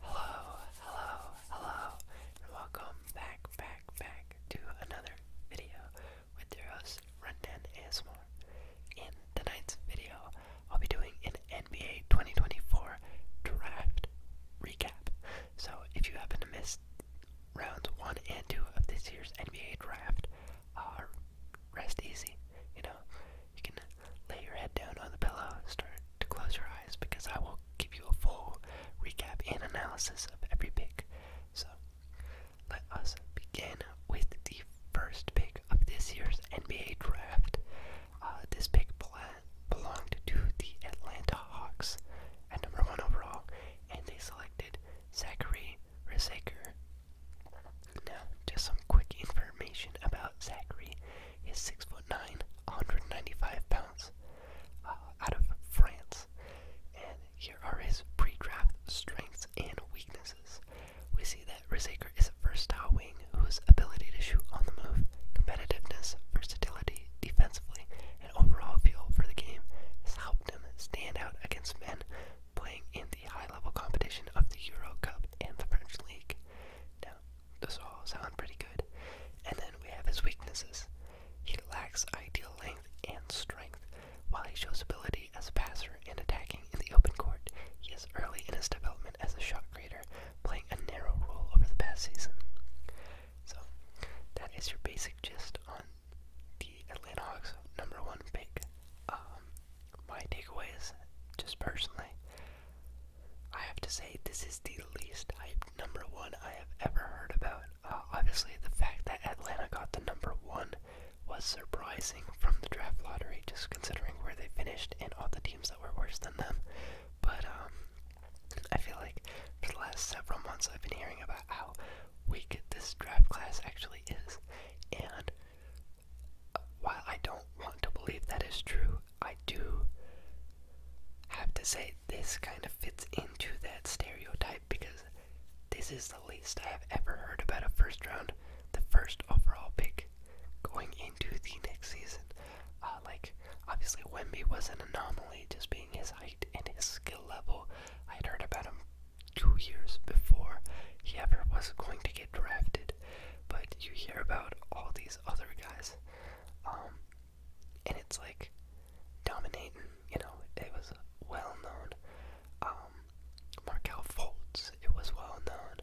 Hello, hello, hello, and welcome back, back, back to another video with your host, and ASMR. In tonight's video, I'll be doing an NBA 2024 draft recap. So if you happen to miss rounds one and two of this year's NBA draft, uh, rest easy. You know, you can lay your head down on the pillow, start to close your eyes because I will give you a full recap and analysis of every pick. So, let us begin with the first pick of this year's NBA draft. Uh, this pick belonged to the Atlanta Hawks at number one overall, and they selected Zachary Rizaker. Now, just some quick information about Zachary is six foot nine, 195 pounds, uh, out of France. And here are his pre-draft strengths and weaknesses. We see that Rizaker is a versatile wing whose ability to shoot on the move, competitiveness, versatility, defensively, and overall feel for the game has helped him stand out against men playing in the high-level competition of the Euro Cup and the French League. Now, those all sound pretty good. And then we have his weaknesses. He lacks ideal length and strength. While he shows ability as a passer and attacking in the open court, he is early in his development as a shot creator, playing a narrow role over the past season. So, that is your basic gist on the Atlanta Hawks number one pick. Um, my takeaways, just personally, I have to say, this is the least hyped number one I have ever heard about. Uh, obviously, the fact that Atlanta got the number one was surprising from the draft lottery, just considering where they finished and all the teams that were worse than them. But um, I feel like for the last several months, I've been hearing about how weak this draft class actually is, and while I don't want to believe that is true, I do have to say this kind of fits into that stereotype because this is the least I have ever heard about a first round, the first overall pick going into the next season. Uh, like, obviously, Wimby was an anomaly just being his height and his skill level. I had heard about him two years before he ever was going to get drafted good, but you hear about all these other guys, um, and it's like dominating. You know, it was well known. Um, Markel Fultz, it was well known.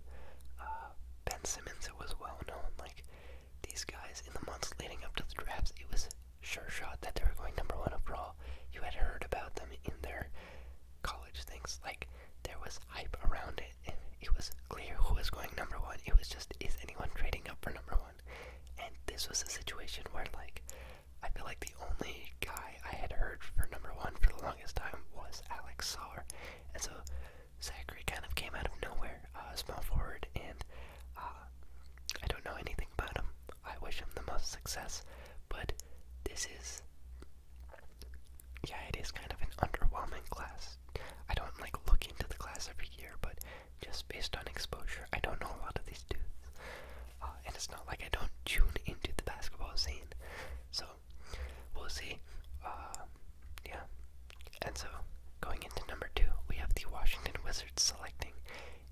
Uh, ben Simmons, it was well known. Like these guys in the months leading up to the drafts, it was sure shot that they were going number one overall. You had heard about them in their college things. Like there was hype around it it, was clear who was going number one. It was just, is anyone trading up for number one? And this was a situation where, like, I feel like the only guy I had heard for number one for the longest time was Alex Saar. And so Zachary kind of came out of nowhere, uh, as a forward, and uh, I don't know anything about him. I wish him the most success, but this is. Yeah, it is kind of an underwhelming class. I don't like looking into the class every year, but just based on exposure, I don't know a lot of these dudes. Uh, and it's not like I don't tune into the basketball scene. So we'll see. Uh, yeah. And so going into number two, we have the Washington Wizards selecting,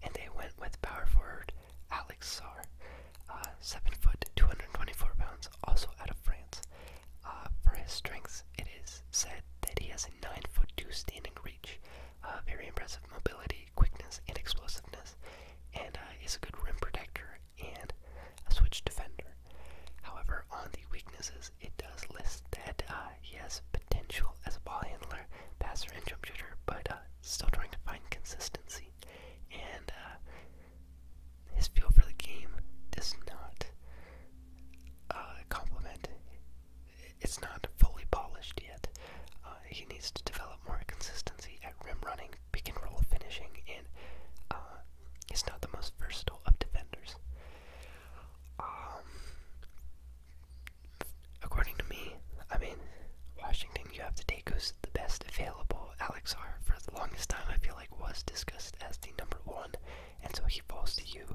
and they went with power forward Alex Sarr, uh, seven foot, two hundred twenty-four pounds, also out of France. Uh, for his strengths, it is said that he has a 9 foot 2 standing reach, uh, very impressive mobility, quickness, and explosiveness, and uh, is a good rim protector and a switch defender. However, on the weaknesses, it does list that he has potential as a ball handler, passer, and jump shooter, but still trying to find consistency. And his feel for the game does not uh, complement. It's not fully polished yet. Uh, he needs to develop more consistency at rim running, pick and roll finishing, and uh, he's not the most versatile of defenders. Um, according to me, I mean, Washington, you have to take who's the best available. Alex R, for the longest time, I feel like was discussed as the number one and so he falls to you.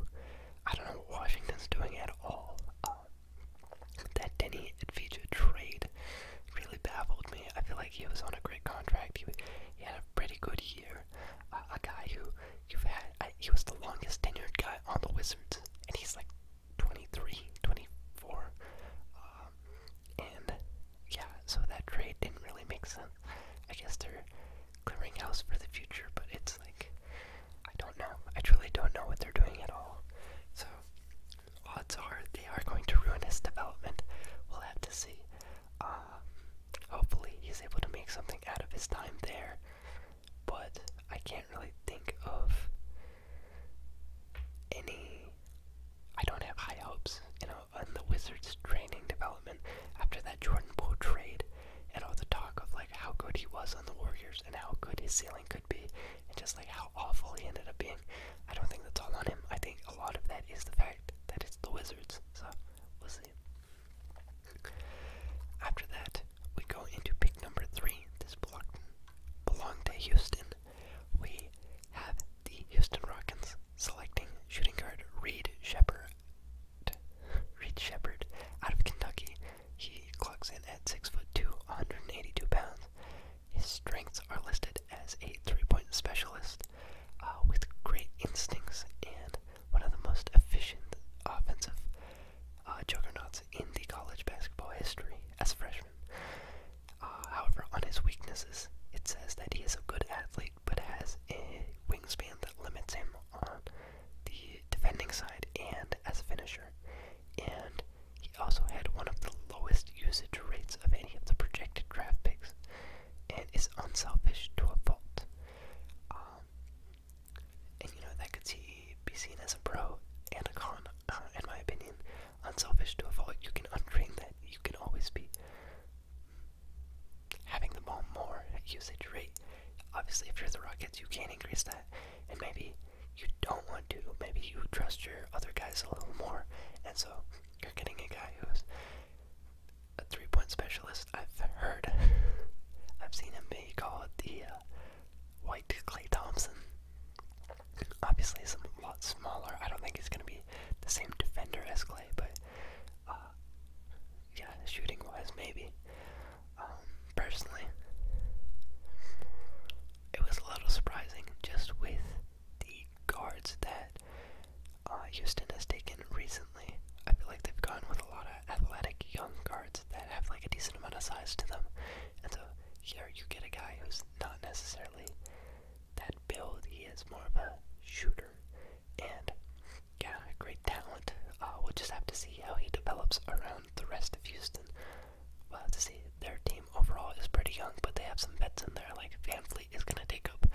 I don't know what Washington's doing at all. Um, that Denny Advija trade really baffled me. I feel like he was on a great contract. He, had a pretty good year. a guy who you've had, he was the longest tenured guy on the Wizards, and he's like 23, 24. Um, and yeah, so that trade didn't really make sense. I guess they're clearing house for the future, but it's like I don't know. I truly don't know what they're doing at all. So odds are they are going to ruin his development. We'll have to see. Um, hopefully he's able to make something out of his time there. But I can't really think of any I don't have high hopes, You know know, and uh, the Wizards training development after that Jordan Poole trade and all the talk of like how good he was on the Warriors and how good his ceiling could be and just like how awful he ended up being. I don't think that's all on him. I think a lot of that is the fact that it's the Wizards. So we'll see. After that, we go into pick number three. This block belonged to Houston. We have the Houston Rockets selecting shooting guard Reed Sheppard. Reed Shepard out of Kentucky. He clocks in at 6 foot 2, 182 pounds. His strengths are listed as a three-point specialist uh, with great instincts and one of the most efficient offensive uh, juggernauts in the college basketball history as a freshman. Uh, however, on his weaknesses, it says that he is a good athlete but has wingspan that limits him on the defending side and as a finisher. And he also had one of the lowest usage rates of any of the projected draft picks, and is unselfish to a fault. Um, and you know that could see, be seen as a pro and a con, uh, in my opinion. Unselfish to a fault, you can untrain that. You can always be having the ball more usage rate. Obviously, if you're the Rockets, you can not increase that, and maybe you don't want to. Maybe you trust your other guys a little more, and so you're getting a guy who's a three-point specialist. I've heard, I've seen him be called the uh, White Clay Thompson. Obviously, he's a lot smaller. I don't think he's going to be the same defender as Clay, but uh, uh, yeah, shooting wise, maybe. Um, personally, it was a little surprising just with the guards that uh, Houston has taken recently. I feel like they've gone with a lot of athletic young guards that have like a decent amount of size to them. And so here you get a guy who's not necessarily that build, he is more of a shooter. And yeah, great talent. Uh, we'll just have to see how he develops around the rest of Houston. Well, to see their team overall is pretty young, but they have some vets in there. Like Van Fleet is going to take up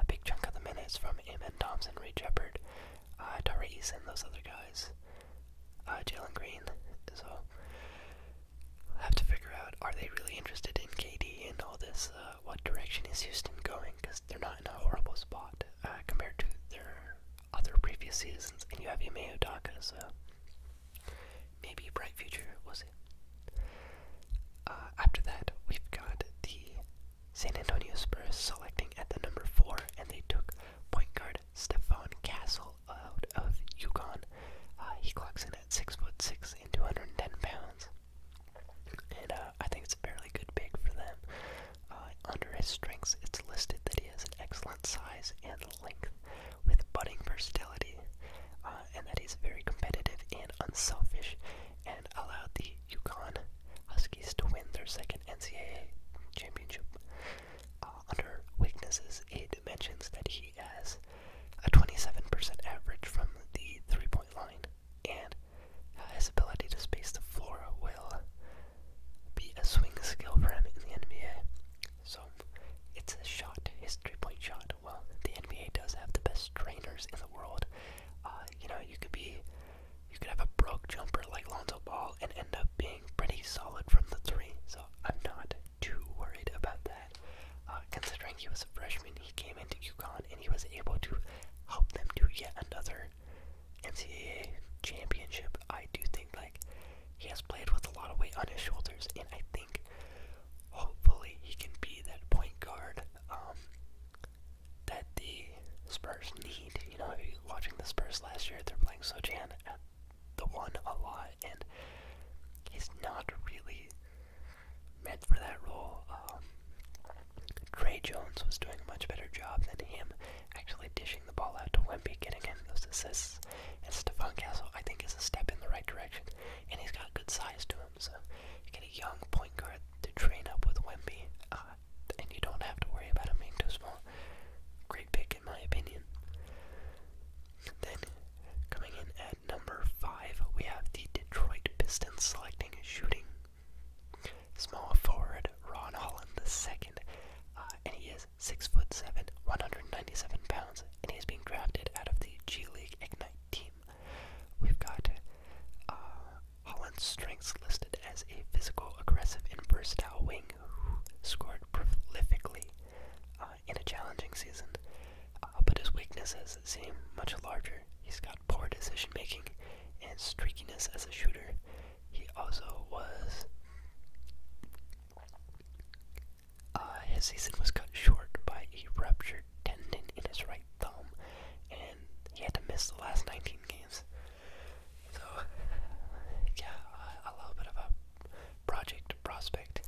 a big chunk of the minutes from Amon Thompson, Ray Shepard, uh, Therese, and those other guys. Uh, Jalen Green. So, we'll have to figure out are they really interested in KD and all this uh, what direction is Houston going because they're not in a horrible spot uh, compared to their other previous seasons. And you have Ime Odaka, so maybe a bright future, was it? Uh, after that, we've got the San Antonio Spurs selecting at the number four, and they took point guard Stefan Castle out of Yukon. Uh, he clocks in at six foot six and 210 pounds and uh, I think it's a fairly good pick for them. Uh, under his strengths, it's listed that he has an excellent size and length with budding versatility, uh, and that he's very competitive and unselfish, and allowed the Yukon Huskies to win their second NCAA championship. under weaknesses, it mentions that he has a 27% average from the three-point line, and his ability to space the floor will be a swing skill for him in the NBA. So it's a shot, his three-point shot. Well, the NBA does have the best trainers in the world. Uh, you know, you could be, you could have a broke jumper like Lonzo Ball and end up being pretty solid from the three. So I'm not too worried about that. Uh, considering he was a freshman, he came into UConn and he was able to help them do yet another NCAA championship, I do think like he has played with a lot of weight on his shoulders, and I think hopefully he can be that point guard um, that the Spurs need. You know, if you're watching the Spurs last year, they're playing Sojan at the a lot, and he's not really meant for that role. Um, Trey Jones was doing a much better job than him, actually dishing the ball out to Wemby, getting him those assists. And Stefan Castle, I think, is a step in the right direction, and he's got good size to him. So you get a young point guard to train up with Wemby, uh, and you don't have to worry about him being too small. Great pick, in my opinion. Then, coming in at number five, we have the Detroit Pistons selecting shooting Small forward Ron Holland II, uh, and he is six foot seven, 197 pounds, and he is being drafted out of the G League Ignite team. We've got uh, Holland's strengths listed as a physical, aggressive, and versatile wing who scored prolifically uh, in a challenging season, uh, but his weaknesses seem much larger. He's got poor decision making, and streakiness as a shooter. He also was. Uh, his season was cut short by a ruptured tendon in his right thumb, and he had to miss the last 19 games. So, yeah, a little bit of a project prospect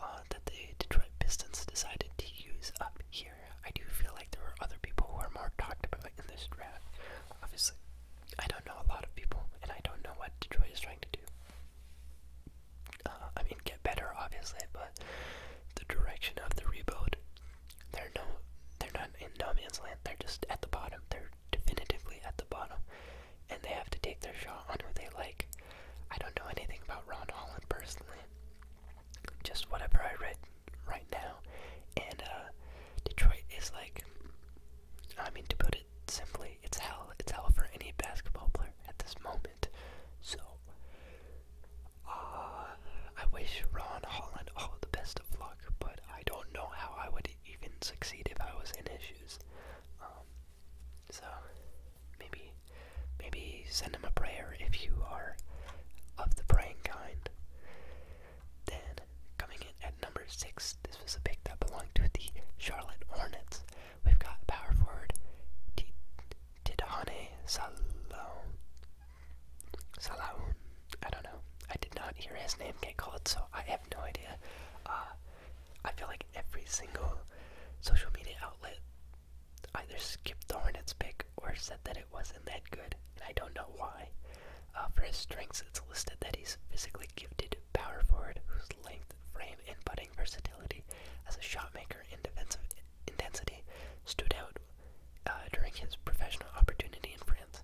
uh, that the Detroit Pistons decided to use up here. I do feel like there are other people who are more talked about in this draft. Obviously, I don't know a lot of people, and I don't know what Detroit is trying to do. Uh, I mean, get better, obviously, but the direction of the rebuild, they're no, they're not in no man's land. They're just at the bottom. They're definitively at the bottom, and they have to take their shot on who they like. I don't know anything about Ron Holland personally. Just whatever I read right now. And uh, Detroit is like, I mean, to put it simply, it's hell. It's hell for any basketball player at this moment. So, uh, I wish Ron Holland all the best of luck, but I don't know how I would even succeed if I was in his shoes. Um, so, maybe, maybe send him a prayer if you are of the praying kind. Then, coming in at number six, this was a pick that belonged to the Charlotte Hornets. We've got power forward Tidane Salone. Salone. I don't know. I did not hear his name get called, so I have no idea. Uh, I feel like every single social media outlet either skipped the Hornets pick or said that it wasn't that good. I don't know why. Uh, for his strengths, it's listed that he's physically gifted power forward whose length, frame, and putting versatility as a shotmaker and defensive intensity stood out uh, during his professional opportunity in France.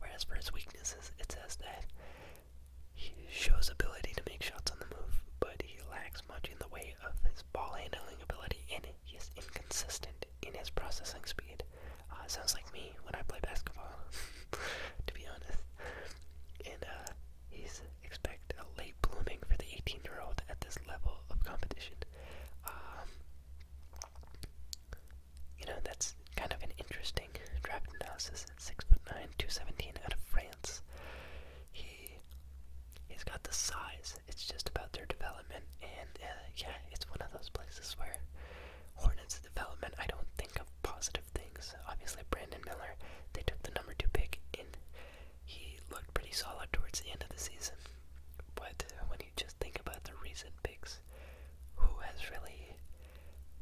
Whereas for his weaknesses, it says that he shows ability to make shots on the move, but he lacks much in the way of his ball handling ability and he is inconsistent in his processing speed it. Uh, sounds like me when I play basketball, to be honest. And uh, he's expect a uh, late blooming for the 18-year-old at this level of competition. Um, you know, that's kind of an interesting draft analysis. Six foot nine, two seventeen, out of France. He he's got the size it's just about their development, and uh, yeah, it's one of those places where Hornets development. I don't think of positive things. Obviously, Brandon Miller, they took the number two pick, and he looked pretty solid towards the end of the season. But when you just think about the recent picks, who has really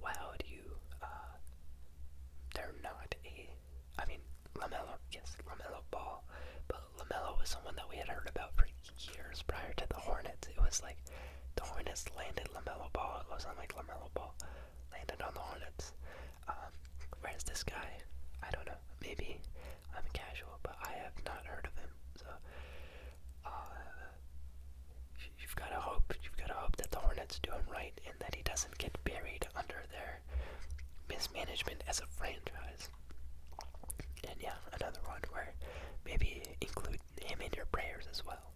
wowed you? Uh, they're not a. I mean, Lamelo, yes, Lamelo Ball, but LaMelo was someone that we had heard about for years prior to the Hornets. It was like the Hornets landed LaMelo Ball. It was on like LaMelo Ball landed on the Hornets. Um, where's this guy, I don't know, maybe I'm casual, but I have not heard of him. So uh, you've got to hope, you've got to hope that the Hornets do him right and that he doesn't get buried under their mismanagement as a franchise. And yeah, another one where maybe include him in your prayers as well.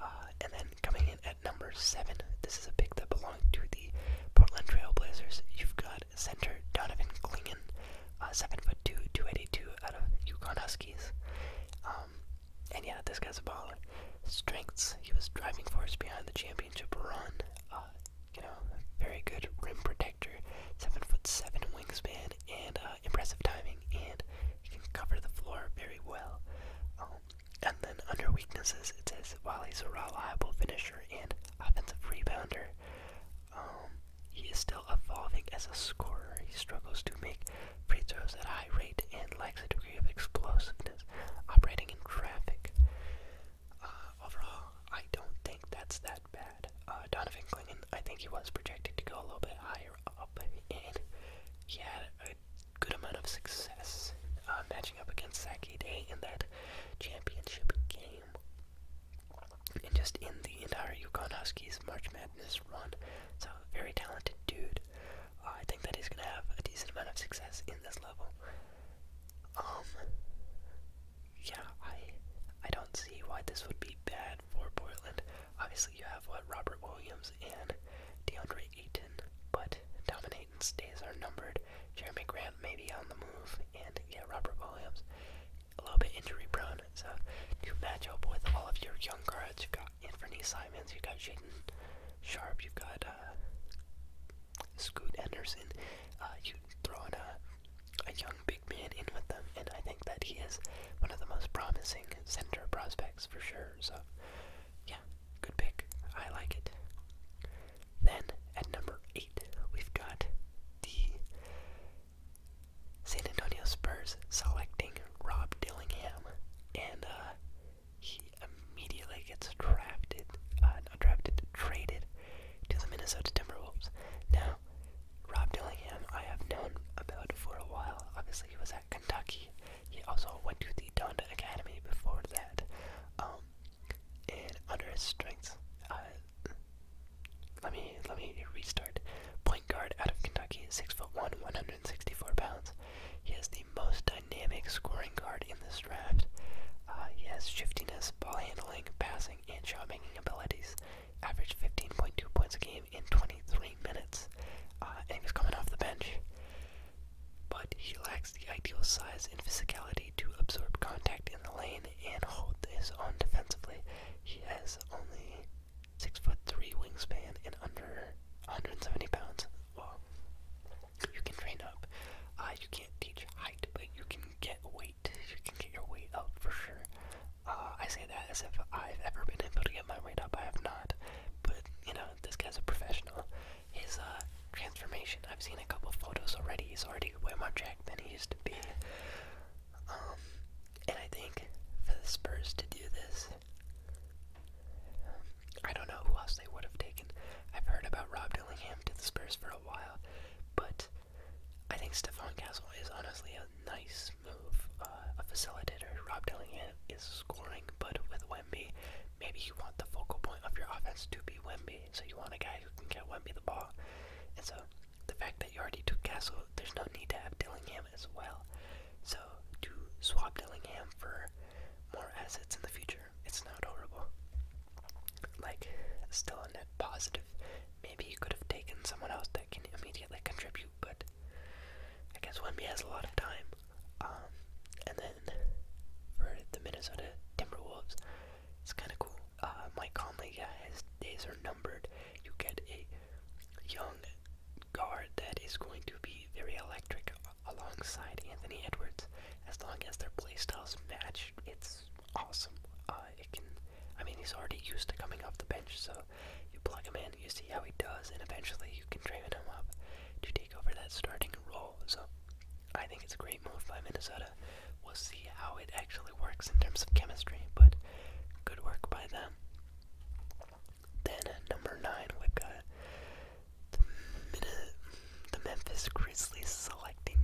Uh, and then coming in at number seven, this is a pick that belonged to the Portland Trailblazers. You've got center Donovan Klingon, uh, seven foot two, two eighty two, out of Yukon Huskies. Um, and yeah, this guy's a baller. Strengths: he was driving force behind the championship run. Uh, you know, very good rim protector, seven foot seven wingspan and uh, impressive timing, and he can cover the floor very well. Um, and then under weaknesses, it says while he's a reliable finisher and offensive rebounder, um, he is still evolving as a scorer. He struggles to make free throws at a high rate and lacks a degree of explosiveness, operating in traffic. Uh, overall, I don't think that's that bad. Uh, Donovan Clinton, I think he was projected to go a little bit higher up, and he had a good amount of success uh, matching up against Saki Day in that championship game. And just in the entire Yukon Huskies March Madness run. So, very talented dude. Uh, I think that he's going to have a decent amount of success in this level. Um, yeah, I, I don't see why this would be bad for Portland. Obviously, you have what Robert Williams and DeAndre Ayton, but Domin Ayton's days are numbered. Jeremy Grant may be on the move, and yeah, Robert Williams a little bit injury prone. So to match up with all of your young guards, you've got Anthony Simons, you've got Jaden Sharp, you've got uh, Scoot Anderson. Uh, you throw in a a young big man in with them, and I think that he is one of the most promising center prospects for sure. So, yeah, good pick. I like it. Then at number eight, we've got the San Antonio Spurs selecting Rob Dillingham, and uh, he immediately gets drafted, uh, not drafted, traded to the Minnesota Timberwolves. Now, Rob Dillingham, I have known about for a while. Obviously, he was at Kentucky. He also went to the Donda Academy before that. Um, and under his strengths, uh, let me let me restart. Point guard out of Kentucky, six foot one, 164 pounds. He has the most dynamic scoring guard in this draft. Uh, he has shiftiness, ball handling, passing, and shot making abilities averaged 15.2 points a game in 23 minutes, uh, and he coming off the bench. But he lacks the ideal size and physicality to absorb contact in the lane and hold his own defensively. He has only six foot three wingspan and under 170 pounds. Well, you can train up. Uh, you can't teach height, but you can get weight. You can get your weight up for sure. Uh, I say that as if I've ever been able to get my weight up. I have not. But you know, this guy's a professional. His uh, transformation. I've seen a couple photos already. He's already way more jacked than he used to be. Um, and I think for the Spurs to do this, I don't know who else they would have taken. I've heard about Rob Dillingham to the Spurs for a while, but I think Stefan Castle is honestly a nice move, uh, a facilitator. Rob Dillingham is scoring, but with Wemby, maybe you want the focal point of your offense to be Wemby, so you want a guy who can get Wemby the ball. And so the fact that you already took Castle, there's no need to have Dillingham as well. So to swap Dillingham for more assets in the future, it's not horrible. Like, still a net positive Maybe you could have taken someone else that can immediately contribute, but I guess Wemby has a lot of time. Um, and then for the Minnesota Timberwolves, it's kind of cool. Uh, Mike Conley, yeah, his days are numbered. You get a young guard that is going to be very electric alongside Anthony Edwards. As long as their playstyles match, it's awesome. Uh, it can I mean, he's already used to coming off the bench, so you plug him in, you see how he does, and eventually you can train him up to take over that starting role. So I think it's a great move by Minnesota. We'll see how it actually works in terms of chemistry, but good work by them. Then at uh, number nine, we've got the, the Memphis Grizzlies selecting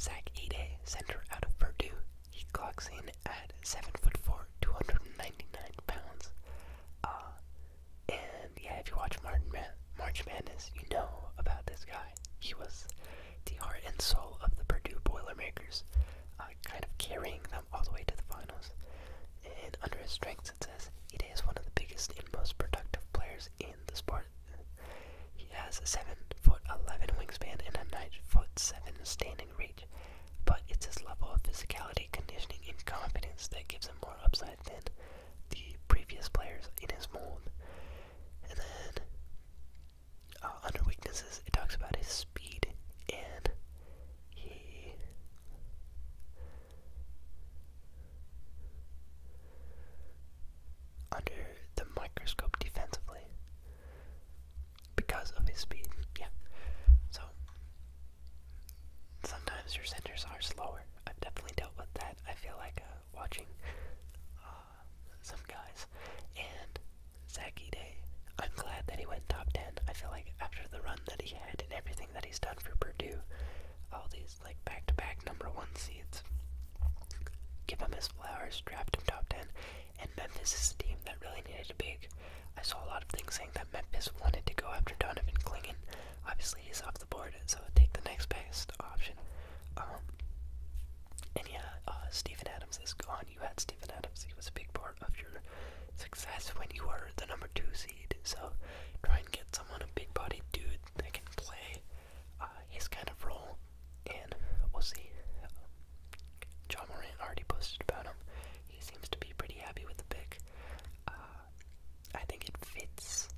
Zach Ide, center out of Purdue. He clocks in at seven foot four, 299 pounds. Uh, and yeah, if you watch Martin Man March Madness, you know about this guy. He was the heart and soul of the Purdue Boilermakers, uh, kind of carrying them all the way to the finals. And under his strengths, it says it is one of the biggest and most productive players in the sport. He has a seven foot eleven wingspan and a nine foot seven standing but it's his level of physicality, conditioning, and confidence that gives him more upside than the previous players in his mold. And then, uh, under weaknesses, it talks about his speed, and he. Under the microscope defensively because of his speed. Yeah. So sometimes your centers are slower. I've definitely dealt with that. I feel like uh, watching uh, some guys and Zaki Day. I'm glad that he went top ten. I feel like after the run that he had and everything that he's done for Purdue, all these like back to -back number one seeds. Give him his flowers. Draft him top ten and Memphis is a team that really needed a big. I saw a lot of things saying that Memphis wanted to go after Donovan Klingon. Obviously, he's off the board, so take the next best option. Um, and yeah, uh, Stephen Adams is gone. You had Stephen Adams. He was a big part of your success when you were the number two seed. So try and get someone a big-bodied dude that can play uh, his kind of role and we'll see. John Morant already posted about him. He seems to be pretty happy with the pick. Uh, I think it fits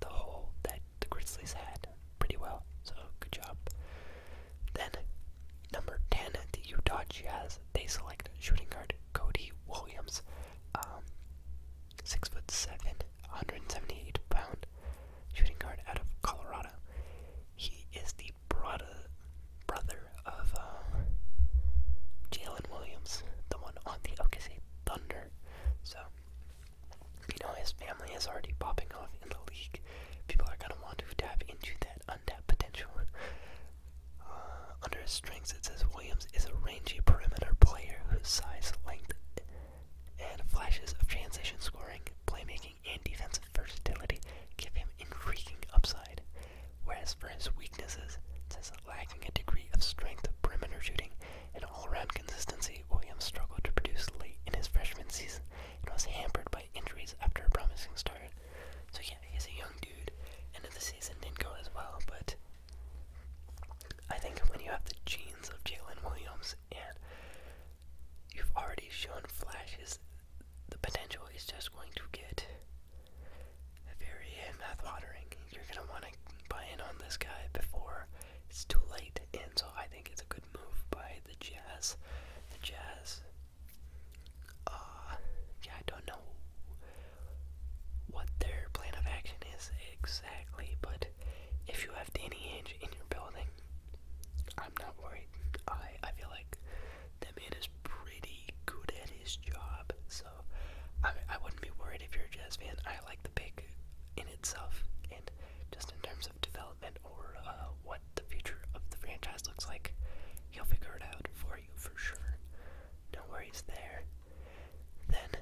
the hole that the Grizzlies had pretty well, so good job. Then, number 10, at the Utah Jazz. They select shooting guard Cody Williams. Um, six foot seven, 178 pound shooting guard out of Colorado. He is the brother, brother of um, Jalen Williams, the one on the OKC Thunder. So, you know, his family is already popping off in the league. People are going to want to tap into that untapped potential. Uh, under his strengths, it says Williams is a rangy perimeter player whose size, length, and flashes of transition scoring, playmaking, and defensive versatility give him intriguing upside. Whereas for his weaknesses, since lacking a degree of strength, perimeter shooting, and all round consistency, Williams struggled to produce late in his freshman season and was hampered by injuries after a promising start. So yeah, he's a young dude, and the season didn't go as well, but I think when you have the genes of Jalen Williams and you've already shown flashes the potential is just going to get very math watering You're going to want to buy in on this guy before it's too late, and so I think it's a good move by the Jazz. The Jazz, uh, yeah, I don't know what their plan of action is exactly, but if you have Danny Ainge in your building, I'm not worried. I I feel like that man is pretty good at his job. So I, wouldn't be worried if you're a Jazz fan. I like the pick in itself, and just in terms of development or uh, what the future of the franchise looks like, he'll figure it out for you for sure. No worries there. Then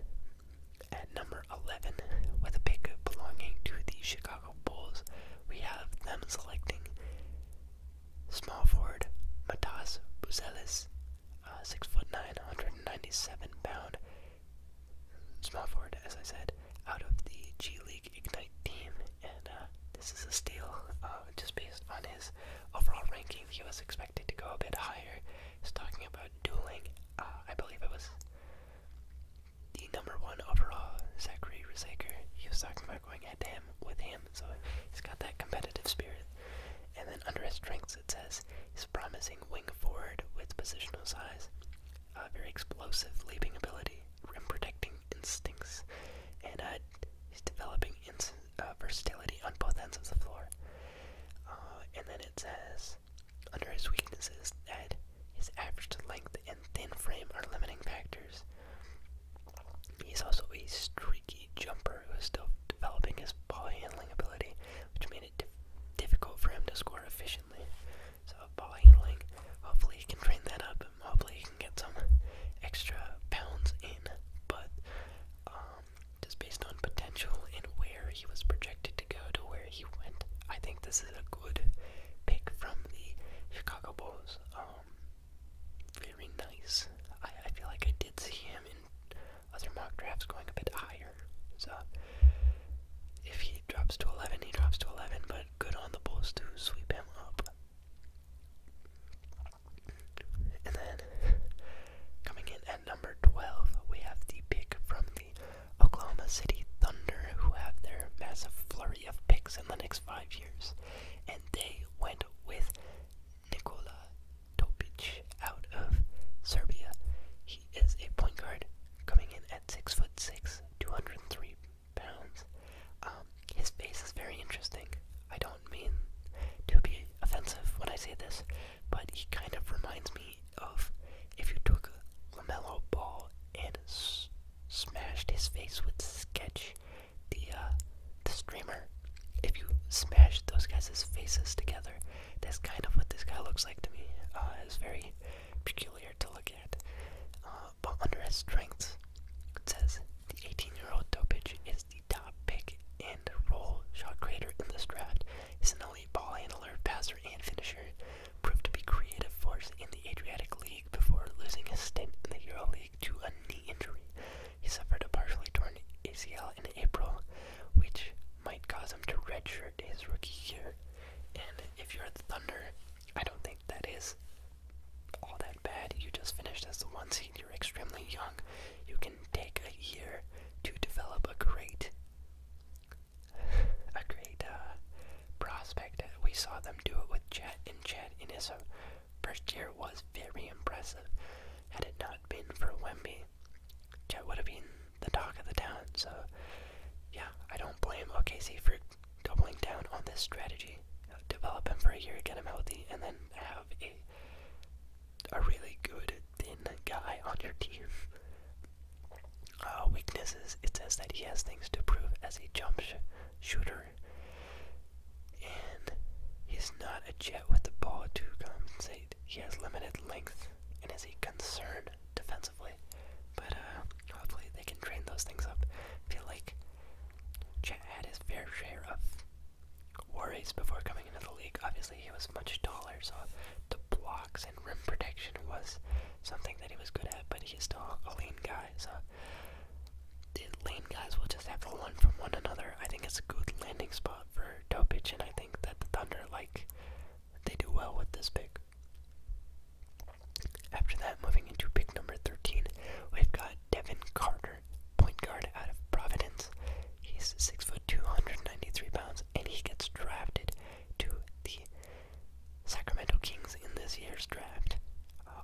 at number 11, with a pick belonging to the Chicago Bulls, we have them selecting Small forward Matas Buzelis, uh, 6'9", 197 pound. Small forward, as I said, out of the G League Ignite team, and uh, this is a steal. Uh, just based on his overall ranking, he was expected to go a bit higher. He's talking about dueling. Uh, I believe it was the number one overall, Zachary Rezaker. He was talking about going head him with him. So he's got that competitive spirit. And then under his strengths, it says he's promising wing forward with positional size, very explosive leaping ability, rim protecting instincts, and uh, he's developing uh, versatility on both ends of the floor. Uh, and then it says under his weaknesses that his average length and thin frame are limiting factors. He's also a streaky jumper who is still developing his ball handling ability, which made it difficult for him to score efficiently. So, ball handling, hopefully, he can train that up, hopefully, he can get some extra pounds in. But, um, just based on potential and where he was projected to go to where he went, I think this is a good pick from the Chicago Bulls. Um, very nice. I, feel like I did see him in other mock drafts going a bit higher. So if he drops to 11, he drops to 11, but good on the Bulls to sweep him up. And then coming in at number 12, we have the pick from the Oklahoma City Thunder, who have their massive flurry of picks in the next five years and they went with Nikola Topic out of Serbia. He is a point guard coming in at six foot six, 203 pounds. Um, his face is very interesting. I don't mean to be offensive when I say this, but he kind of reminds me of if you took a LaMelo ball and smashed his face with sketch the uh, the streamer. If you smash those guys' faces together, that's kind of what this guy looks like to me. Uh, it's very peculiar to look at. Uh, but under his strengths, it says the 18-year-old Topic is the top pick and role shot creator in this draft. He's an elite ball handler, passer, and finisher. Proved to be creative force in the Adriatic League before losing a stint in the EuroLeague to a knee injury. He suffered a partially torn ACL in April, which might cause him to redshirt his rookie year. And if you're the Thunder, I don't think that is all that bad. You just finished as the one seed. You're extremely young. You can take a year to develop a great, a great uh, prospect. We saw them do it with Chet, and Chet in his uh, First year was very impressive. Had it not been for Wemby, Chet would have been the talk of the town. So, yeah, I don't blame OKC for doubling down on this strategy. Develop him for a year, get him healthy, and then have a a really good thin guy on your team. Uh, weaknesses: It says that he has things to prove as a jump shooter and he's not a jet with the ball to compensate. He has limited length and is a concern defensively. But uh, hopefully they can train those things up. I feel like Chad had his fair share of worries before coming into the league. Obviously, he was much taller, so the blocks and rim protection was something that he was good at, but he's still a lean guy, so the lane guys will just have to one from one another. I think it's a good landing spot for Topic, and I think that the Thunder, like, they do well with this pick. After that, moving into pick number 13, we've got Devin Carter, point guard out of Providence. He's 6'2", 193 pounds, and he gets drafted to the Sacramento Kings in this year's draft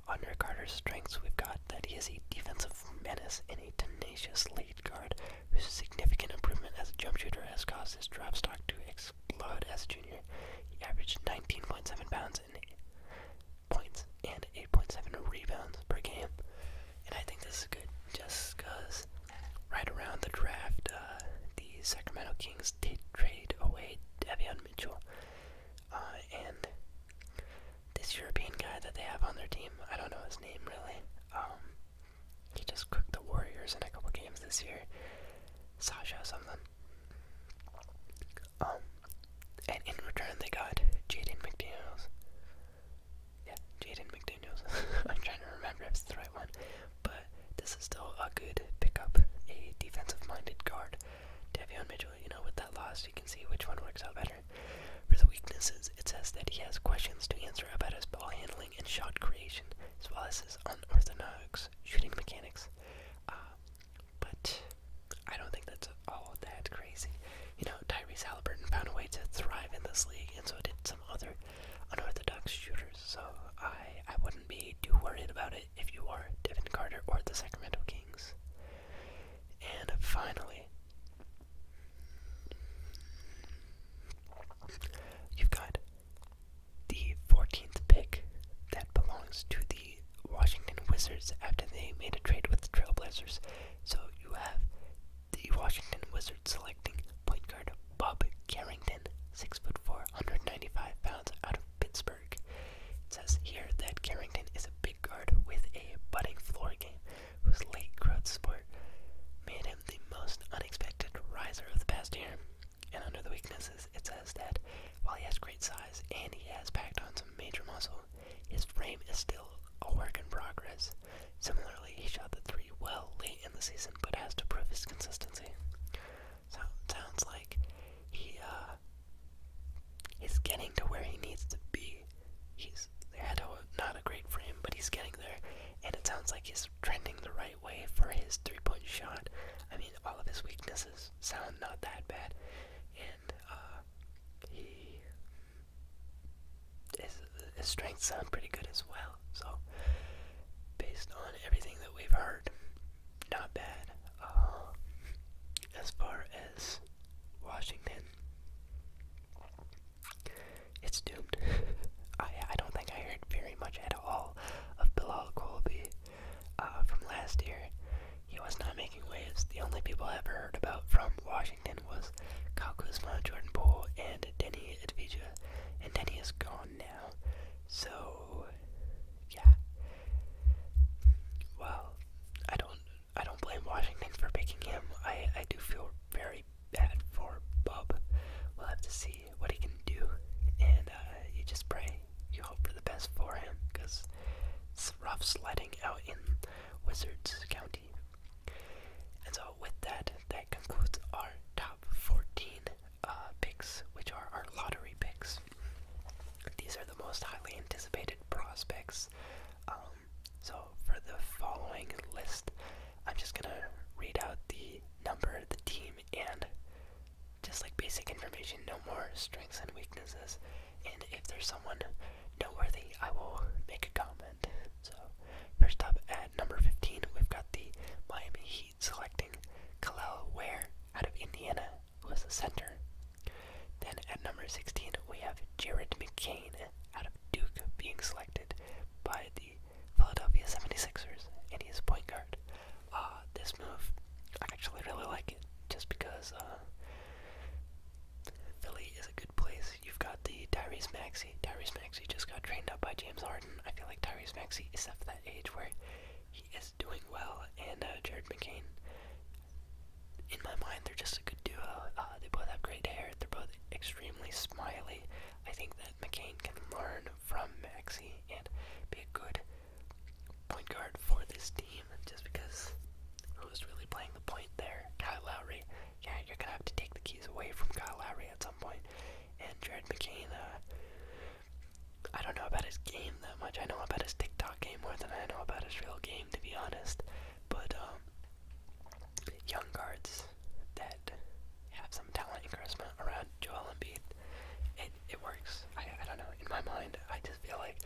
under Carter's strengths, we've got that he is a defensive menace and a tenacious lead guard whose significant improvement as a jump shooter has caused his draft stock to explode as a junior. He averaged 19.7 pounds and points and 8.7 rebounds per game. And I think this is good just because right around the draft, uh, the Sacramento Kings did trade away Devon Mitchell. Uh, and this European guy that they have on their team, I don't know his name really. Um, he just cooked the Warriors in a couple games this year. Sasha something. Um, and in return they got Jaden McDaniels. Yeah, Jaden McDaniels. I'm trying to remember if it's the right one. But this is still a good pickup, a defensive minded guard Davion Mitchell, you know, with that loss, you can see which one works out better. For the weaknesses, it says that he has questions to answer about his ball handling and shot creation, as well as his unorthodox shooting mechanics. Uh, but I don't think that's all that crazy. You know, Tyrese Halliburton found a way to thrive in this league, and so did some other unorthodox shooters. So I, I wouldn't be too worried about it if you are Devin Carter or the Sacramento Kings. And finally, you've got the 14th pick that belongs to the Washington Wizards after they made a trade with the Trailblazers. So you have the Washington Wizards selecting point guard Bob Carrington, 6'4", 195 pounds out of Pittsburgh. It says here that Carrington is a big guard with a budding floor game whose late growth sport made him the most unexpected riser of the past year. And under the weaknesses, it says that while he has great size and he has packed on some major muscle, his frame is still a work in progress. Similarly, he shot the three well late in the season, but has to prove his consistency. So sounds like he uh, He's getting to where he needs to be. He's had a, not a great frame, but he's getting there, and it sounds like he's trending the right way for his three-point shot. I mean, all of his weaknesses sound not that bad, and uh, he his strengths sound pretty good as well. So, based on everything that we've heard, not bad. Uh, as far as Washington, it's doomed. I I don't think I heard very much at all of Bilal Colby uh, from last year. He was not making waves. The only people I ever heard about from Washington was Kyle Kuzma, Jordan Poole, and Denny Advija. And Denny is gone now. So, yeah. Well, I don't I don't blame Washington for picking him. I, I do feel very bad for Bob. We'll have to see what he can do. And uh, you just pray. You hope for the best for him because it's rough sliding out in Wizards County. And so, with that, that concludes our top 14 uh, picks, which are our lottery picks. These are the most highly anticipated prospects. Um, so, for the following list, I'm just going to read out the number, the team, and just like basic information, no more strengths and weaknesses. And if there's someone noteworthy, I will make a comment. So, first up at number 15, we've got the Miami Heat selecting Kalel Ware out of Indiana was the center. Then at number 16, we have Jared McCain out of Duke being selected by the Philadelphia 76ers, and he's a point guard. Uh, this move, I actually really like it just because uh, Philly is a good place. You've got the Tyrese Maxey. Tyrese Maxey just got trained up by James Harden. I feel like Tyrese Maxey is at that age where he is doing well, and uh, Jared McCain in my mind, they're just a good duo. Uh, they both have great hair. They're both extremely smiley. I think that McCain can learn from Maxi and be a good point guard for this team. Just because who's really playing the point there? Kyle Lowry. Yeah, you're gonna have to take the keys away from Kyle Lowry at some point. And Jared McCain. Uh, I don't know about his game that much. I know about his TikTok game more than I know about his real game, to be honest. But um, young guards that have some talent and charisma around Joel Embiid, it it works. I I don't know. In my mind, I just feel like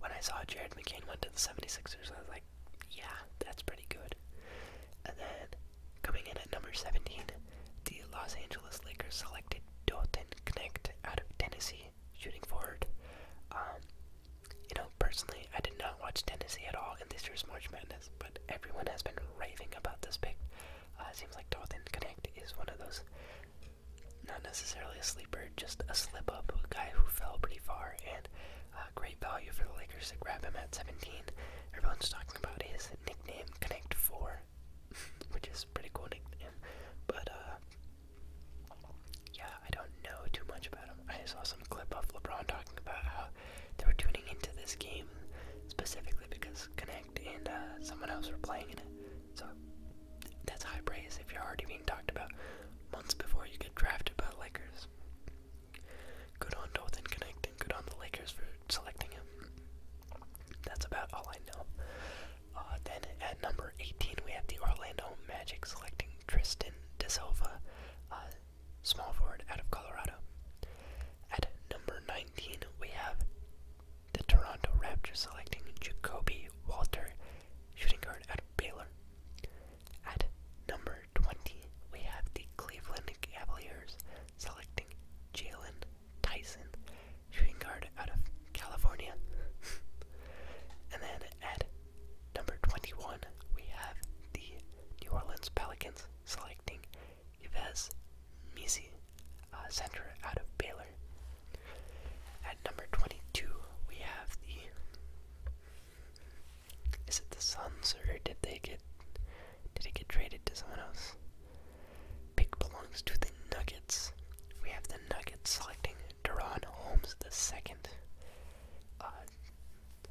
when I saw Jared McCain went to the 76ers, I was like, yeah, that's pretty good. And then coming in at number 17, the Los Angeles Lakers selected Doten Connect out of Tennessee shooting forward. Um, you know, personally, I did not watch Tennessee at all in this year's March Madness, but everyone has been raving about this pick. Uh, seems like Dalton Connect is one of those, not necessarily a sleeper, just a slip up a guy who fell pretty far, and uh, great value for the Lakers to grab him at 17. Everyone's talking about his nickname, Connect 4, which is pretty cool nickname, but uh, yeah, I don't know too much about him. I saw some clip of LeBron talking about how they were tuning into this game specifically because Connect and uh, someone else were playing in it. So that's high praise if you're already being talked about months before you get drafted by the Lakers. Good on Dalton Connect and good on the Lakers for selecting him. That's about all I know. Uh, then at number 18, we have the Orlando Magic selecting Tristan De Silva, uh, small forward out of Colorado. At number 19, we have the Toronto Raptors selecting Jacoby Walter, shooting guard out of Baylor. At number 20, we have the Cleveland Cavaliers selecting Jalen Tyson, shooting guard out of California. and then at Number 21, we have the New Orleans Pelicans selecting Yves Misi, uh, center out of Baylor. At number 22, we have the. Is it the Suns or did they get. Did it get traded to someone else? Pick belongs to the Nuggets. We have the Nuggets selecting Duran Holmes II, uh,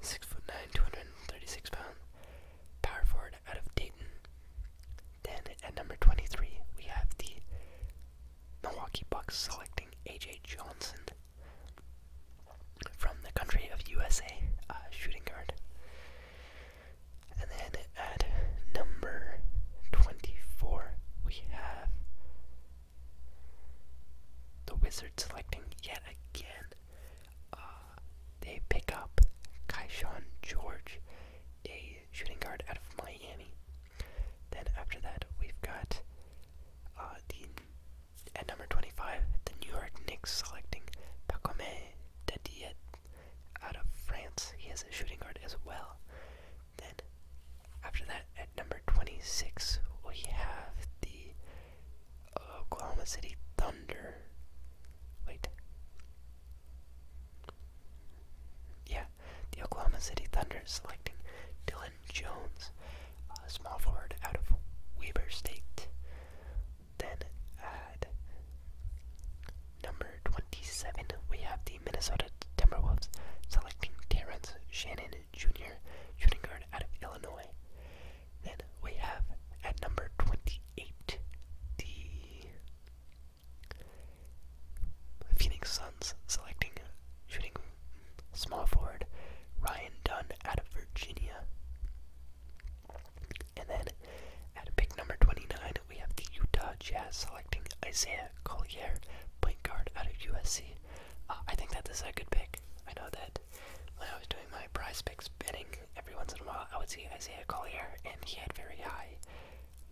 six foot nine, two hundred and thirty-six pounds, power forward out of Dayton. Then at number twenty-three, we have the Milwaukee Bucks selecting A.J. Johnson from the country of USA, uh, shooting guard. And then at number twenty-four, we have the Wizards selecting yet again. Uh, they pick up Kaishan George, a shooting guard out of Miami. Then after that, we've got uh, the at number 25, the New York Knicks selecting Pacome Dediet out of France. He is a shooting guard as well. Then, after that, at number 26, we have the Oklahoma City Thunder. Wait. Yeah, the Oklahoma City Thunder selecting Dylan Jones, a small forward out of Weber State. Then at number 27, we have the Minnesota Timberwolves selecting Terrence Shannon junior shooting guard out of Illinois. Then we have at number 28 the Phoenix Suns selecting shooting small forward Ryan Dunn out of Virginia. And then at pick number 29, we have the Utah Jazz selecting Isaiah Collier, point guard out of USC. Uh, I think that is a good pick. I know that when I was doing my prize picks betting, every once in a while I would see Isaiah Collier, and he had very high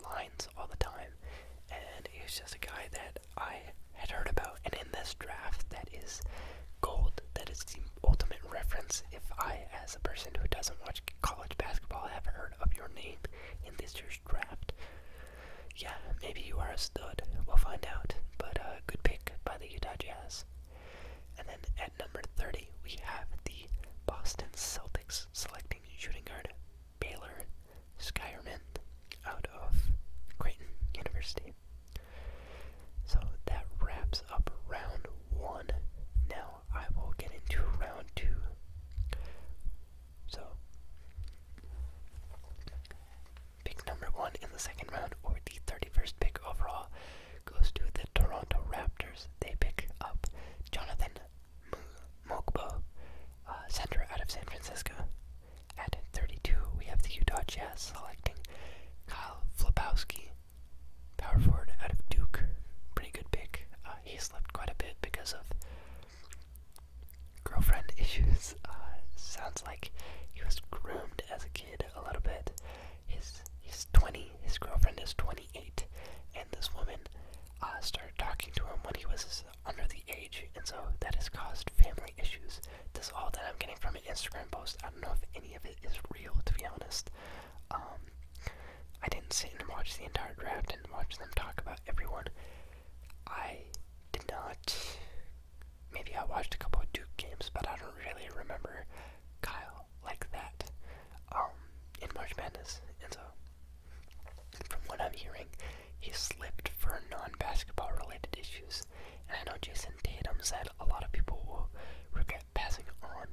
lines all the time. And he was just a guy that I had heard about. And in this draft, that is gold. That is the ultimate reference. If I, as a person who doesn't watch college basketball, have heard of your name in this two draft. Yeah, maybe you are a stud. We'll find out. But uh, good pick by the Utah Jazz. And then at number 30, we have the Boston Celtics selecting shooting guard Baylor Skyrman out of Creighton University. So that wraps up round one. Now I will get into round two. So, pick number one in the second round, or the 31st pick overall, goes to the Toronto Raptors. They pick up Jonathan Mokbo, uh, center out of San Francisco. At 32, we have the Utah Jazz selecting Kyle Flabowski, power forward out of Duke. Pretty good pick. Uh, he slept quite a bit because of girlfriend issues. Uh, sounds like he was groomed as a kid a little bit. His he's 20. His girlfriend is 28, and this woman uh, started talking to him when he was under the age, and so that has caused family issues. This is all that I'm getting from an Instagram post. I don't know if any of it is real, to be honest. Um, I didn't sit and watch the entire draft and watch them talk about everyone. I did not. Maybe I watched a couple of Duke games, but I don't really remember Kyle like that um, in March Madness. And so, from what I'm hearing, he slipped for non basketball related issues. And I know Jason Tatum said a lot of people will regret passing on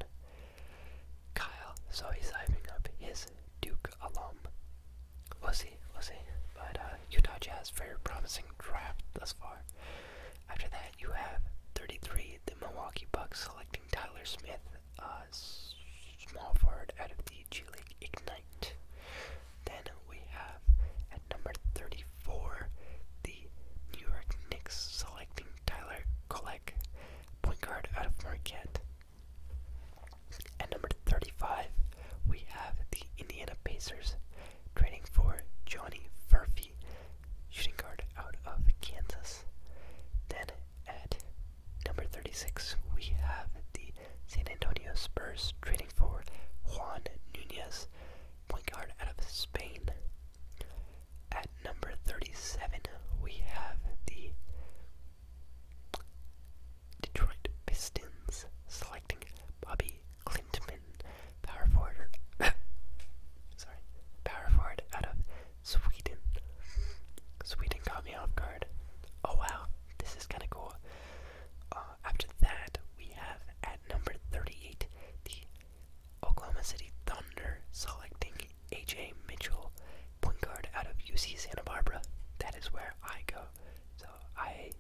Kyle, so he's hyping up his Duke alum We'll see, we'll see. But uh, Utah Jazz, very promising draft thus far. After that, you have 33, the Milwaukee Bucks selecting Tyler Smith, uh, small forward out of the G League Ignite. Then we have at number 34, the New York Knicks selecting Tyler Kolek, point guard out of Marquette. At number 35, we have the Indiana Pacers trading for Johnny Furphy, shooting guard out of Kansas. Then at number 36, we have the San Antonio Spurs trading for Juan Nunez, point guard out of Spain. At number 37, we have the Detroit Pistons selecting Bobby Clintman, power forward. sorry, power forward out of Sweden. Sweden caught me off guard. Oh wow, this is kind of cool. Uh, after that, we have at number 38 the Oklahoma City Thunder selecting AJ Mitchell, point guard out of UC Santa Barbara. That is where I go. So I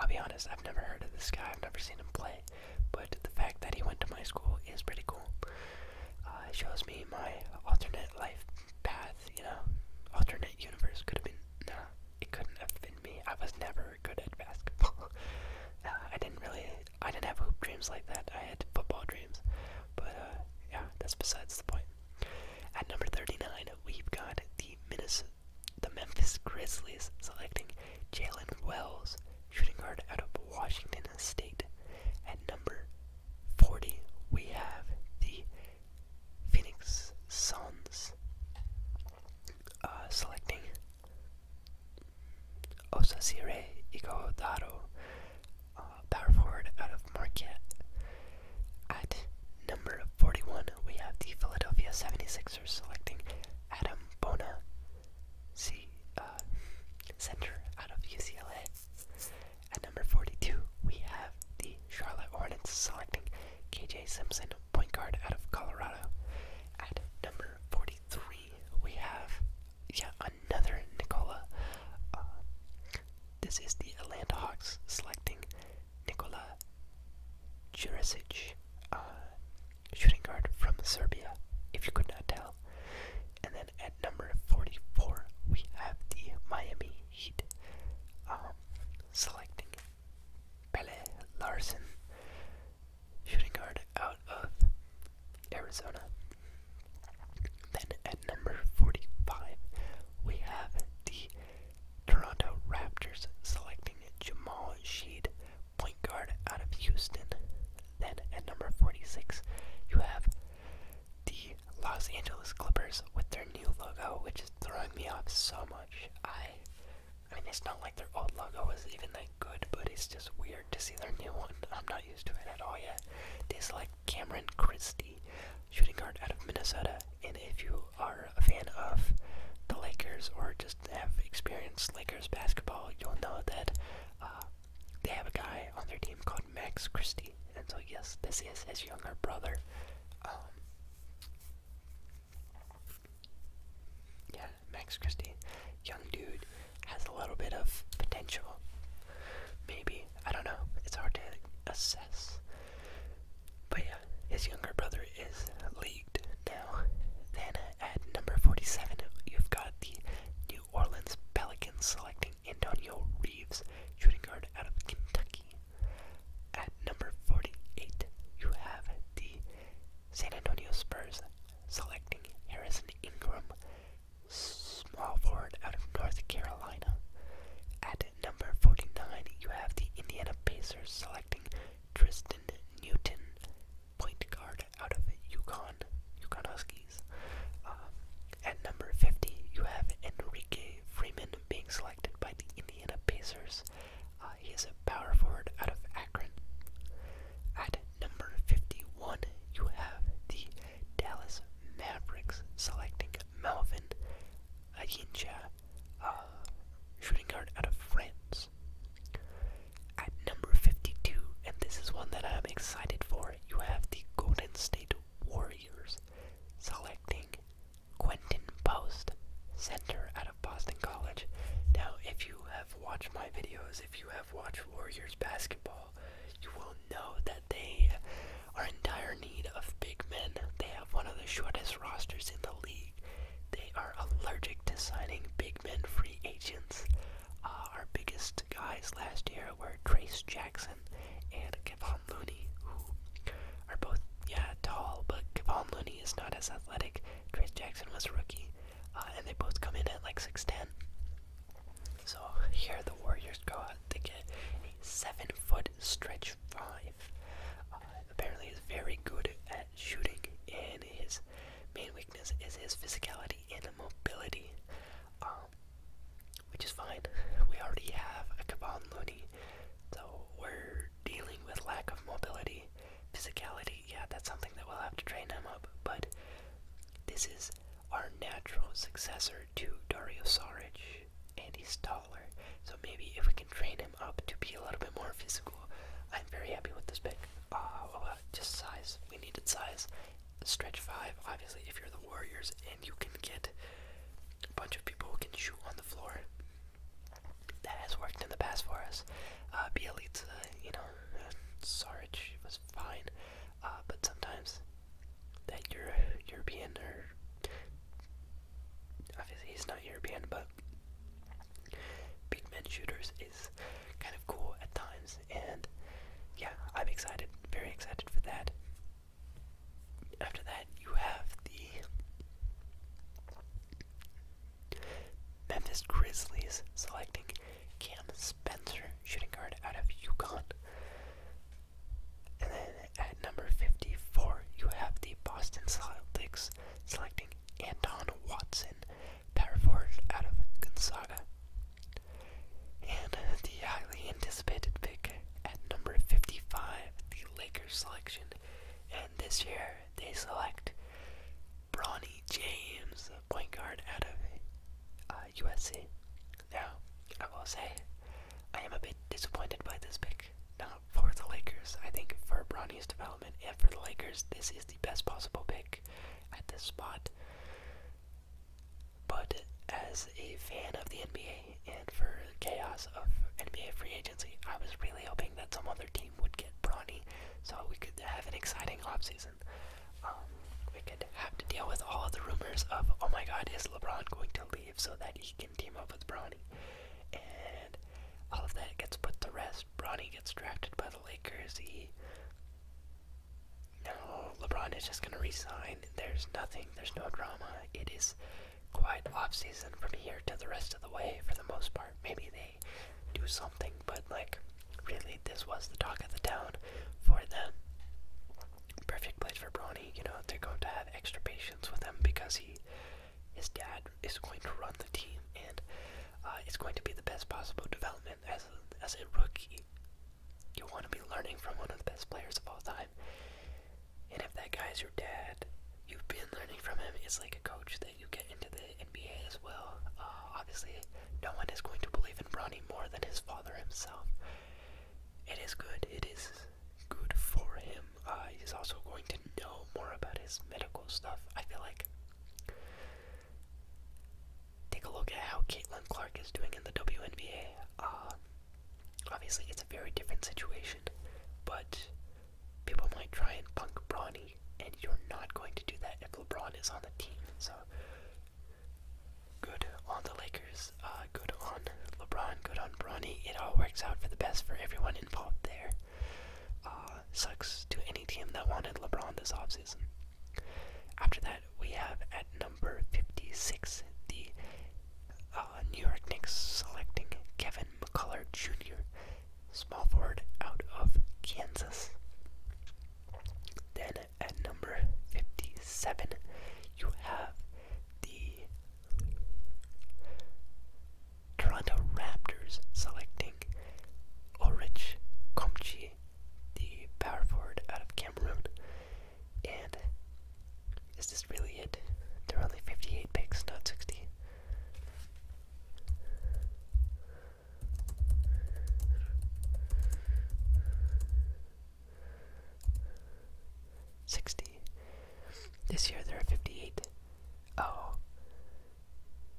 I'll be honest, I've never heard of this guy, I've never seen him play, but the fact that he went to my school is pretty cool. Uh, it shows me my alternate life path, you know, alternate universe could have been, nah, it couldn't have been me. I was never good at basketball. Uh, I didn't really, I didn't have hoop dreams like that, I had football dreams, but uh, yeah, that's besides the point. At number 39, we've got the Memphis Grizzlies selecting Jalen Wells, shooting guard out of Washington State. At number 40, we have the Phoenix Suns uh, selecting Osasire Igodaro, uh, power forward out of Marquette. At number 41, we have the Philadelphia 76ers selecting Adam Bona, C, uh, center out of UCLA. At number 42, we have the Charlotte Hornets selecting KJ Simpson, point guard out of Colorado. At number 43, we have yet another Nicola. Uh, this is the Atlanta Hawks selecting Nikola Jurasic, shooting guard from Serbia, if you could not tell. And then at number 44, we have the Miami Heat um, selecting Pele Larson, shooting guard out of Arizona. Then at number 45, we have the Toronto Raptors selecting Jamal Sheed, point guard out of Houston. Then at number 46, you have the Los Angeles Clippers with their new logo, which is throwing me off so much. I, I mean, it's not like their old logo was even that good, but it's just weird to see their new one. I'm not used to it at all yet. They select Cameron Christie, shooting guard out of Minnesota. And if you are a fan of the Lakers or just have experienced Lakers basketball, you'll know that uh, they have a guy on their team called Max Christie. And so, yes, this is his younger brother. Um, yeah, Max Christie, young dude, has a little bit of potential. Maybe I don't know. It's hard to assess. But yeah, his younger brother is leagued now. Then at number 47, you've got the New Orleans Pelicans selecting Antonio Reeves, shooting guard out of Kentucky. At number 48, you have the San Antonio Spurs selecting Harrison Ingram, small forward out of North Carolina. At number 49, you have the Indiana Pacers selecting Tristan Newton, point guard out of Yukon, Yukon uh, at number 50, you have Enrique Freeman being selected by the Indiana Pacers. Uh, He's a power forward out of Akron. At number 51, you have the Dallas Mavericks selecting Melvin Ayincha shooting guard out of France. At number 52, and this is one that I'm excited for, you have the Golden State Warriors selecting Quentin Post, center out of Boston College. Now, if you have watched my videos, if you have watched Warriors basketball, you will know that they are in need of big men. They have one of the shortest rosters in the league. They are allergic to signing big men free agents. Uh, our biggest guys last year were Trace Jackson and Kevon Looney, who are both, yeah, tall, but Kevon Looney is not as athletic. Trace Jackson was a rookie, uh, and they both come in at like 6'10. So here the Warriors go out. to get a 7 foot stretch 5 uh, apparently, is very good at shooting, and his main weakness is his physicality and mobility, um, which is fine. We already have a Kevon Looney, so we're dealing with lack of mobility, physicality. Yeah, that's something that we'll have to train him up. But this is our natural successor to Dario Saric, and he's taller. So maybe if we can train him up to be a little bit more physical, I'm very happy with this pick. Uh, well, just size. We needed size. Stretch five, obviously, if you're the Warriors and you can get a bunch of people who can shoot on the floor. That has worked in the past for us. Uh, Bielitsa, you know, uh, Saric was fine, uh, but sometimes that you're Euro European or obviously he's not European, but big men shooters is kind of cool at times, and yeah, I'm excited, very excited for that. After that, you have the Memphis Grizzlies selecting Cam Spencer, shooting guard out of Yukon. At number 54, you have the Boston Celtics selecting Anton Watson, power forward out of Gonzaga. And the highly anticipated pick at number 55, the Lakers selection. And this year, they select Bronny James, point guard out of USC. Uh, now, I will say, I am a bit disappointed by this pick for the Lakers. I think for Bronny's development and for the Lakers, this is the best possible pick at this spot. But as a fan of the NBA and for chaos of NBA free agency, I was really hoping that some other team would get Bronny so we could have an exciting off season. Um, we could have to deal with all of the rumors of, oh my god, is LeBron going to leave so that he can team up with Bronny? all of that gets put to rest. Bronny gets drafted by the Lakers. He no, LeBron is just gonna resign. There's nothing. There's no drama. It is quite off season from here to the rest of the way for the most part. Maybe they do something, but like really, this was the talk of the town for them. Perfect place for Bronny. You know they're going to have extra patience with him because he his dad is going to run the team, and uh, it's going to be the best possible development as a, as a rookie. You want to be learning from one of the best players of all time, and if that guy is your dad, you've been learning from him. It's like a coach that you get into the NBA as well. Uh, obviously, no one is going to believe in Bronny more than his father himself. It is good. It is good for him uh, he's also going to know more about his medical stuff. I feel like. Take a look at how Caitlin Clark is doing in the WNBA. Uh, obviously, it's a very different situation, but people might try and punk Bronny, and you're not going to do that if LeBron is on the team. So, good on the Lakers. Uh, good on LeBron, good on Bronny. It all works out for the best for everyone involved there. Uh, sucks to any team that wanted LeBron this offseason. After that, we have at number 56 the uh, New York Knicks selecting Kevin McCullough Jr., small forward out of Kansas. Then at number 57, you have the Toronto Raptors selecting Orich Komchi, the power forward out of Cameroon. And is this really it? There are only 58 picks, not 60. Sixty. This year there are fifty-eight. Oh.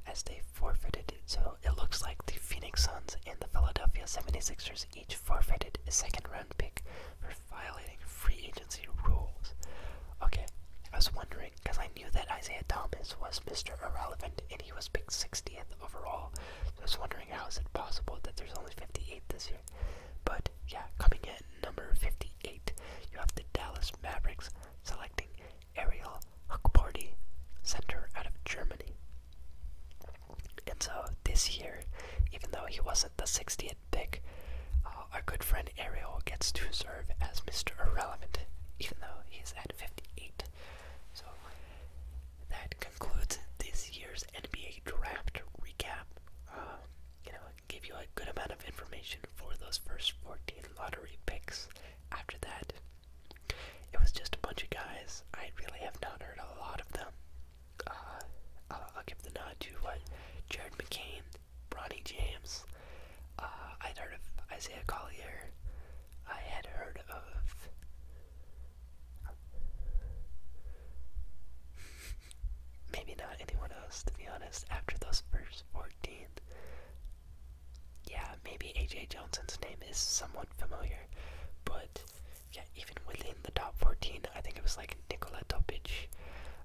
As they forfeited, so it looks like the Phoenix Suns and the Philadelphia 76ers each forfeited a second round pick for violating free agency rules. Okay, I was wondering, because I knew that Isaiah Thomas was Mr. Irrelevant and he was picked 60th overall. I was wondering how is it possible that there's only 58 this year. But yeah, coming in number 58, you have the Dallas Mavericks selecting Ariel Huckparty, center out of Germany. And so this year, even though he wasn't the 60th pick, uh, our good friend Ariel gets to serve as Mr. Irrelevant, even though he's at 58. So that concludes this year's NBA draft recap. Uh, give you a good amount of information for those first 14 lottery picks. After that, it was just a bunch of guys. I really have not heard a lot of them. Uh, I'll, give the nod to what Jared McCain, Bronny James. Uh, I'd heard of Isaiah Collier. I had heard of. Maybe not anyone else, to be honest, after those first 14. Yeah, maybe AJ Johnson's name is somewhat familiar, but yeah, even within the top 14, I think it was like Nikola Topic,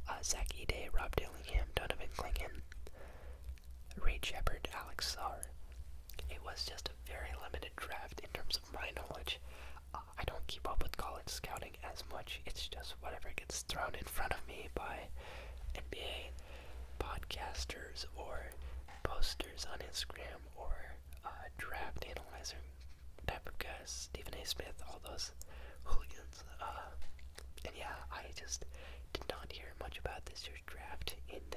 uh, Zach Ide, Rob Dillingham, Donovan Klingham, Ray Shepard, Alex Starr. It was just a very limited draft in terms of my knowledge. Uh, I don't keep up with college scouting as much. It's just whatever gets thrown in front of me by NBA podcasters or posters on Instagram or uh, draft analyzer type of guys, Stephen A. Smith, all those hooligans. Uh, and yeah, I just did not hear much about this year's draft, and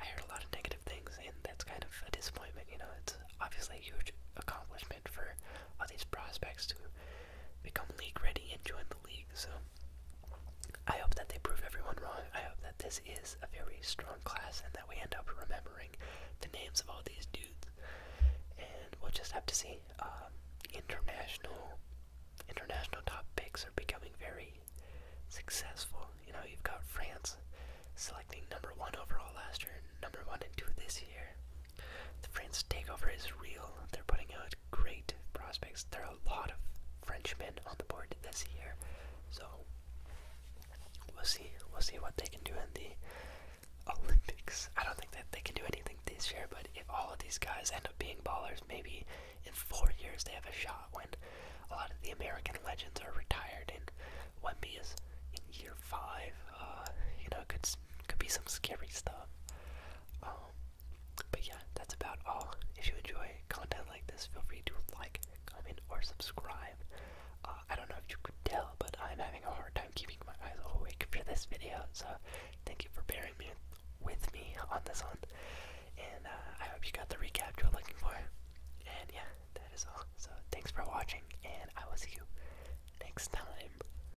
I heard a lot of negative things, and that's kind of a disappointment. You know, it's obviously a huge accomplishment for all these prospects to become league ready and join the league. So I hope that they prove everyone wrong. I hope that this is a very strong class and that we end up remembering the names of all these dudes. And we'll just have to see. Um, international, international top picks are becoming very successful. You know, you've got France selecting number one overall last year, number one and two this year. The French takeover is real. They're putting out great prospects. There are a lot of Frenchmen on the board this year, so we'll see. We'll see what they can do in the Olympics. I don't think that they can do anything this year, but if all of these guys end up being ballers, maybe in four years they have a shot when a lot of the American legends are retired and Wemby is in year five. Uh, you know, it could could be some scary stuff. Um, but yeah, that's about all. If you enjoy content like this, feel free to like, comment, or subscribe. Uh, I don't know if you could tell, but I'm having a hard time keeping my eyes awake for this video, so thank you for bearing with me on this one. And uh, I hope you got the recap you are looking for. And yeah, that is all. So thanks for watching, and I will see you next time.